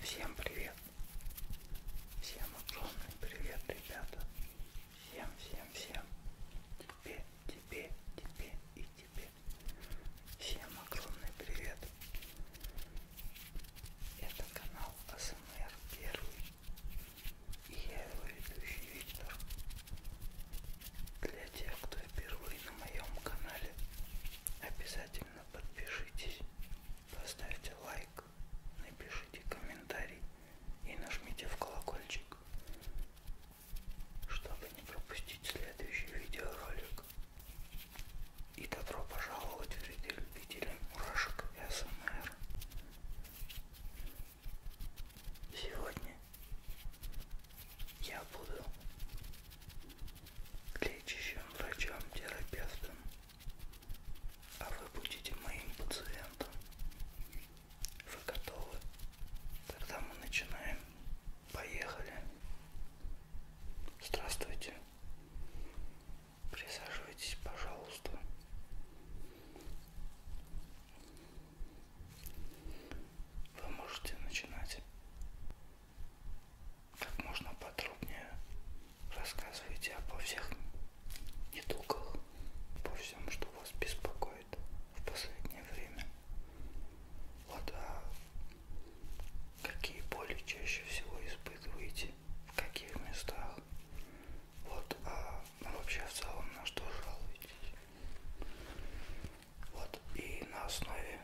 Всем привет! Всем огромный привет, ребята! Всем, всем, всем! Тебе, тебе, тебе и тебе! Всем огромный привет! Это канал АСМР Первый. И я его ведущий Виктор. Для тех, кто впервые на моем канале, обязательно подпишитесь, поставьте лайк, напишите комментарий и нажмите в колокольчик, чтобы не пропустить следующий видеоролик. И добро пожаловать вредолюбителям мурашек и АСМР. Сегодня я буду лечащим врачом-терапевтом, а вы будете моим пациентом. Вы готовы? Тогда мы начинаем. Поехали. Здравствуйте. Присаживайтесь, пожалуйста вы можете начинать как можно подробнее рассказывайте обо всех недугах, обо всем, что вас беспокоит в последнее время. Вот а какие боли чаще всего испытываете, в каких местах. Вот а ну вообще в целом на что жалуетесь. Вот, и на основе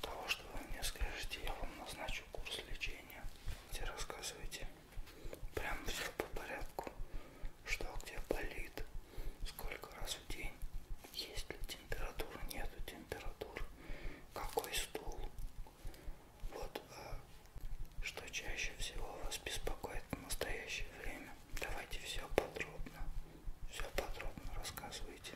того, что вы мне скажете, я вам назначу курс лечения, где рассказывайте прям все по порядку, что где болит, сколько раз в день, есть ли температура, нету температуры, какой стул. Вот, а что чаще всего вас беспокоит в настоящее время время. Давайте все подробно, все подробно рассказывайте.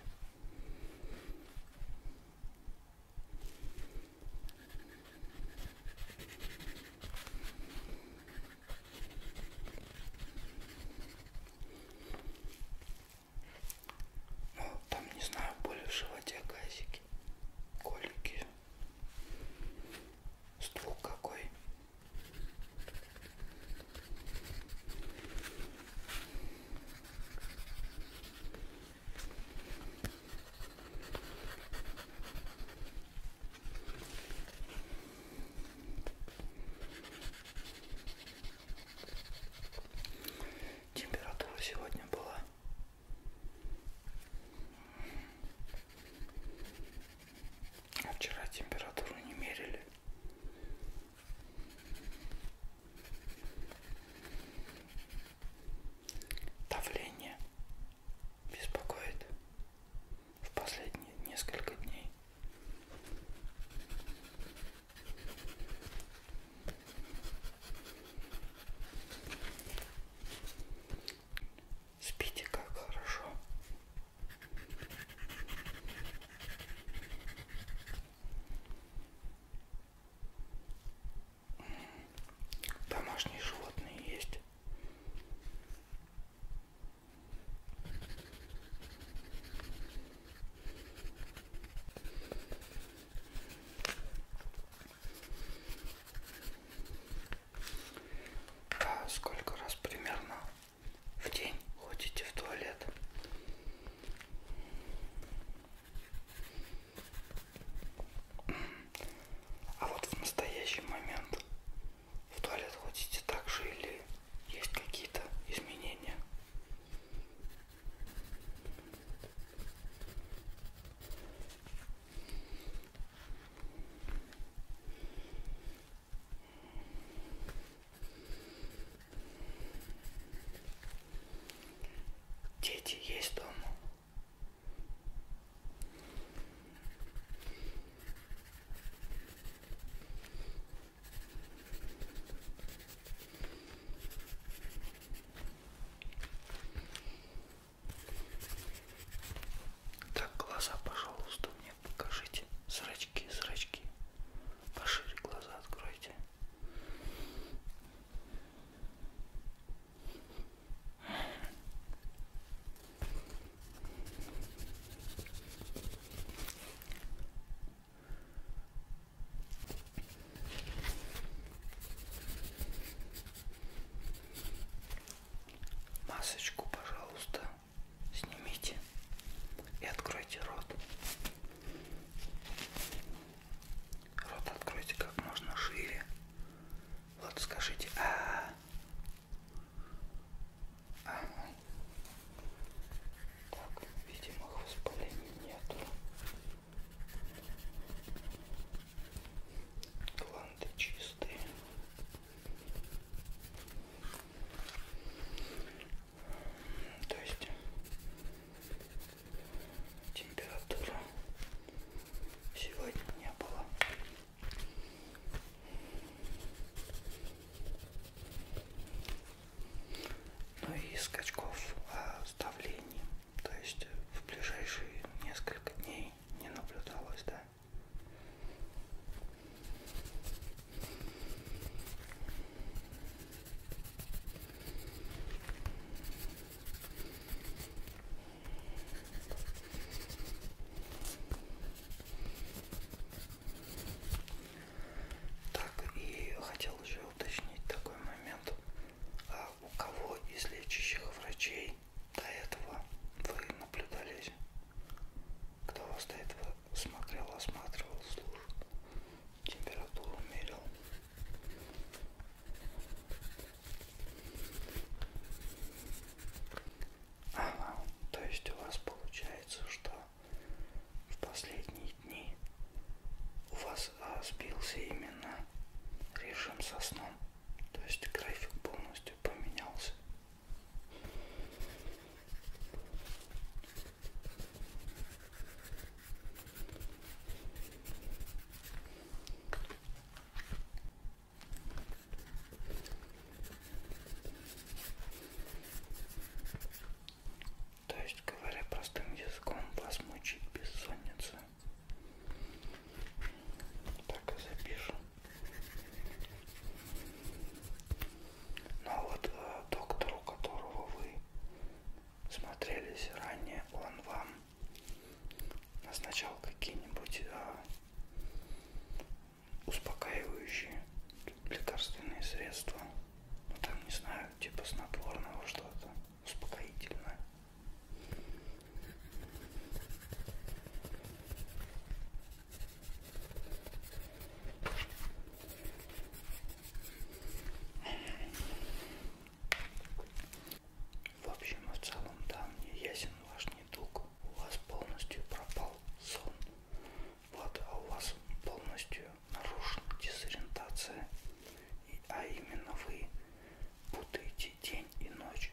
Ну, там, не знаю, боли в животе, газики, колики, стул какой, Температура сегодня была а вчера температуру не мерили. Давление беспокоит в последние несколько дней. Спите как хорошо. Домашние животные есть. А сколько раз примерно в день ходите в туалет? А вот в настоящий момент в туалет ходите так же или есть какие-то изменения? Дети есть дома? Так, глаза, пожалуйста, мне покажите. Зрачки, зрачки. Пошире глаза откройте. Масочку, пожалуйста, снимите и откройте рот. Рот откройте как можно шире. Вот скажите. А -а -а. Ага. Так, видимых воспалений нету. Гланды чистые. То есть температура сегодня не было. Ну и скачков а, с давлением. То есть в ближайшие несколько дней не наблюдалось, да? Так, и хотел еще уточнить такой момент. А у кого из лечащих врачей до этого вы наблюдались, кто вас до этого смотрел, осматривал, слушал, температуру мерил. Ага, то есть у вас получается, что в последние дни у вас сбился именно режим со сном. То есть график полностью поменялся. То есть, говоря простым языком, вас мучит бессонница. Так и а запишем. Ну а вот э, доктору, которого вы смотрелись ранее, он вам назначал какие-нибудь э, успокаивающие лекарственные средства. Ну там, не знаю, типа снотворного что-то успокоительное. В общем и в целом, да, мне ясен ваш недуг. У вас полностью пропал сон. Вот, а у вас полностью нарушена дезориентация. А именно вы путаете день и ночь.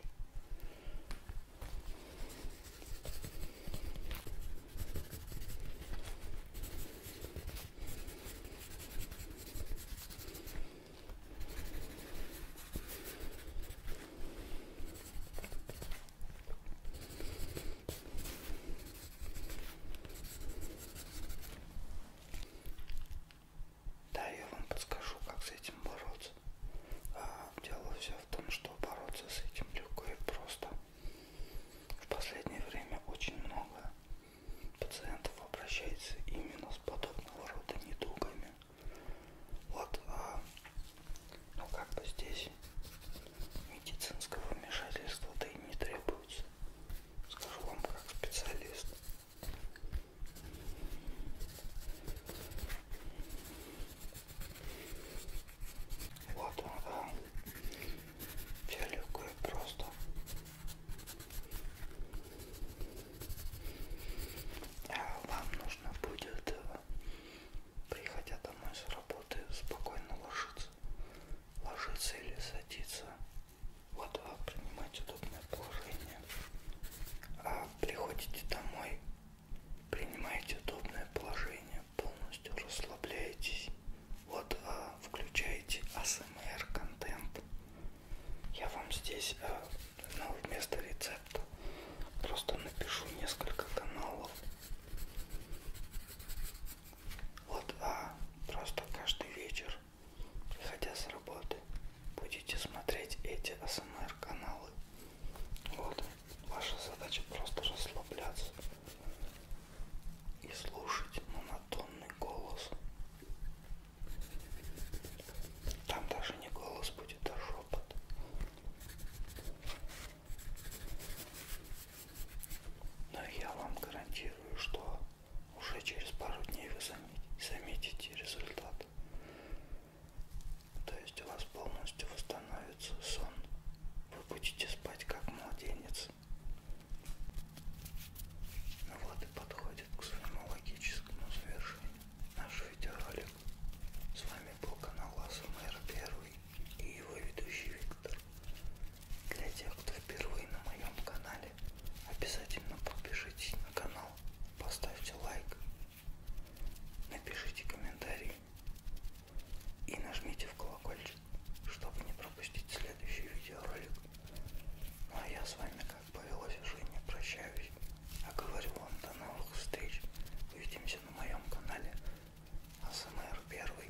Да, я вам подскажу, как с этим бороться. А, дело все в том, что бороться с этим легко и просто. В последнее время очень много пациентов обращается именно с подобного рода недугами. Вот, а, ну как бы здесь медицинского вмешательства-то и не требуется. Скажу вам как специалист. Вот он, да. Фиолетовый просто. А вам нужно будет, э, приходя домой с работы, спокойно ложиться. Ложиться или садиться вот вы а, принимаете удобное положение. А приходите домой, принимаете удобное положение, полностью расслабляетесь. Вот а, включаете АСМР контент. Я вам здесь а, ну, вместо рецепта просто напишу несколько каналов. Вот а просто каждый вечер выходя с работы, будете смотреть эти АСМР каналы. Вот, ваша задача просто расслабляться и слушать монотонный голос. Там даже не голос будет, а шепот. Но я вам гарантирую, что уже через пару дней вы заметите результат. То есть у вас полностью восстановится сон. Вы будете спать как младенец. Ну вот и подходит к своему логическому завершению наш видеоролик. С вами был канал АСМР Первый и его ведущий Виктор. Для тех, кто впервые на моем канале, обязательно подпишитесь на канал, поставьте лайк, напишите комментарий и нажмите в колокольчик, чтобы не пропустить следующий видеоролик. Ну а я с вами, как повелось, уже не прощаюсь, а говорю вам до новых встреч. Увидимся на моем канале АСМР Первый.